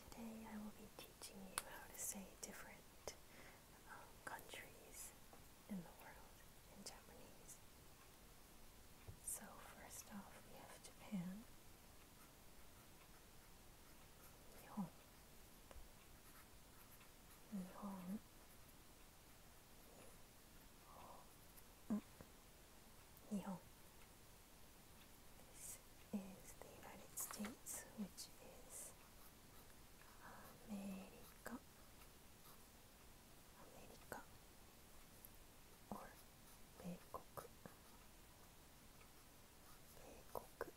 Today I will be teaching you how to say different um, countries in the world in Japanese. So first off we have Japan. Nihon. Nihon. Nihon is the United States, which is uh, America, America, or 米国、米国、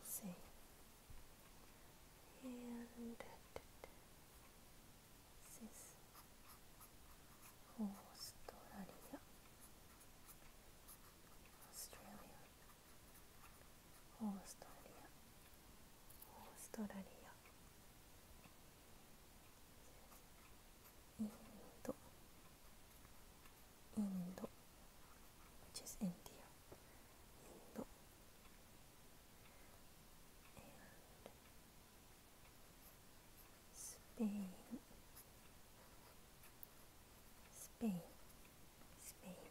USA, and this Australia, Australia, Australia, Australia. India, Indo, which India. Spain, Spain, Spain,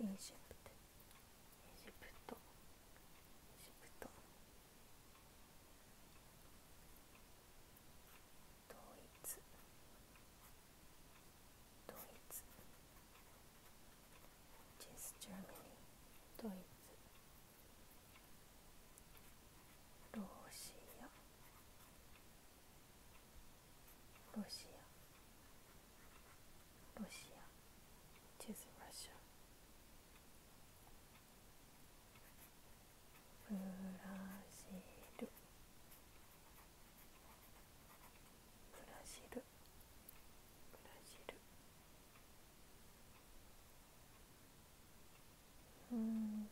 Egypt, Egypt, Egypt, Egypt. ドイツドイツジェス・ジャーミニドイツロシアロシアロシアチェス・ラシアブラジルブラジルブラジルうん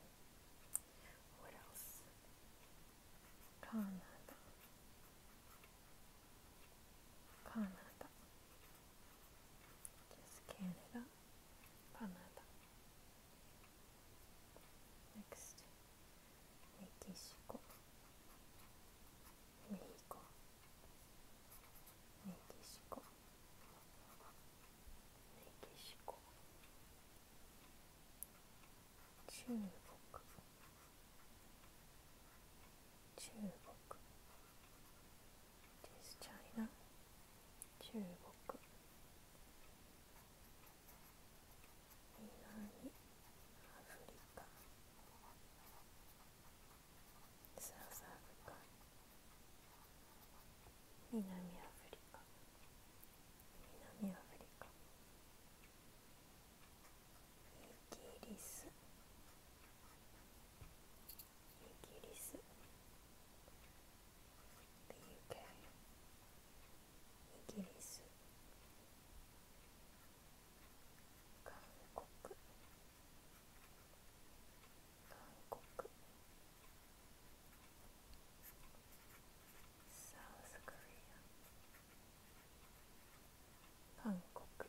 w h a カナダカナダ Just Canada, Canada. Next, Mexico, Mexico, Mexico, Mexico. China. 中国中国 This China 中国南アフリカサウスアフリカ南アフリカ南アフリカイギリスイギリス The UK イギリス韓国韓国サウスコリア韓国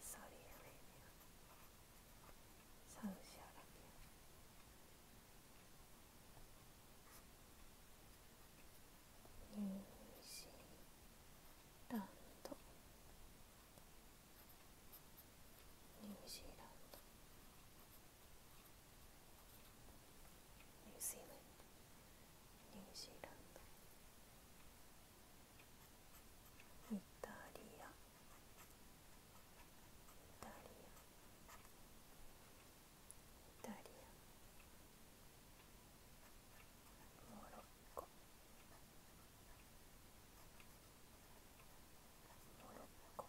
Saudi Arabia, Saudi Arabia. New Zealand, New Zealand, New Zealand, New Zealand, イタリアイタリアイタリアモロッコモロッコモロ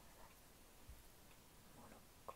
ッコ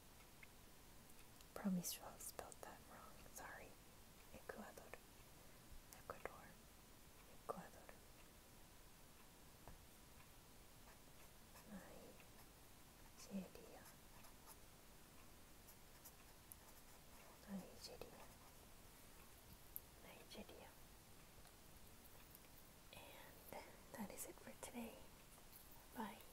Probably spelled that wrong. Sorry. Ecuador. Ecuador. Ecuador. Nigeria. Nigeria. Nigeria. And that is it for today. Bye.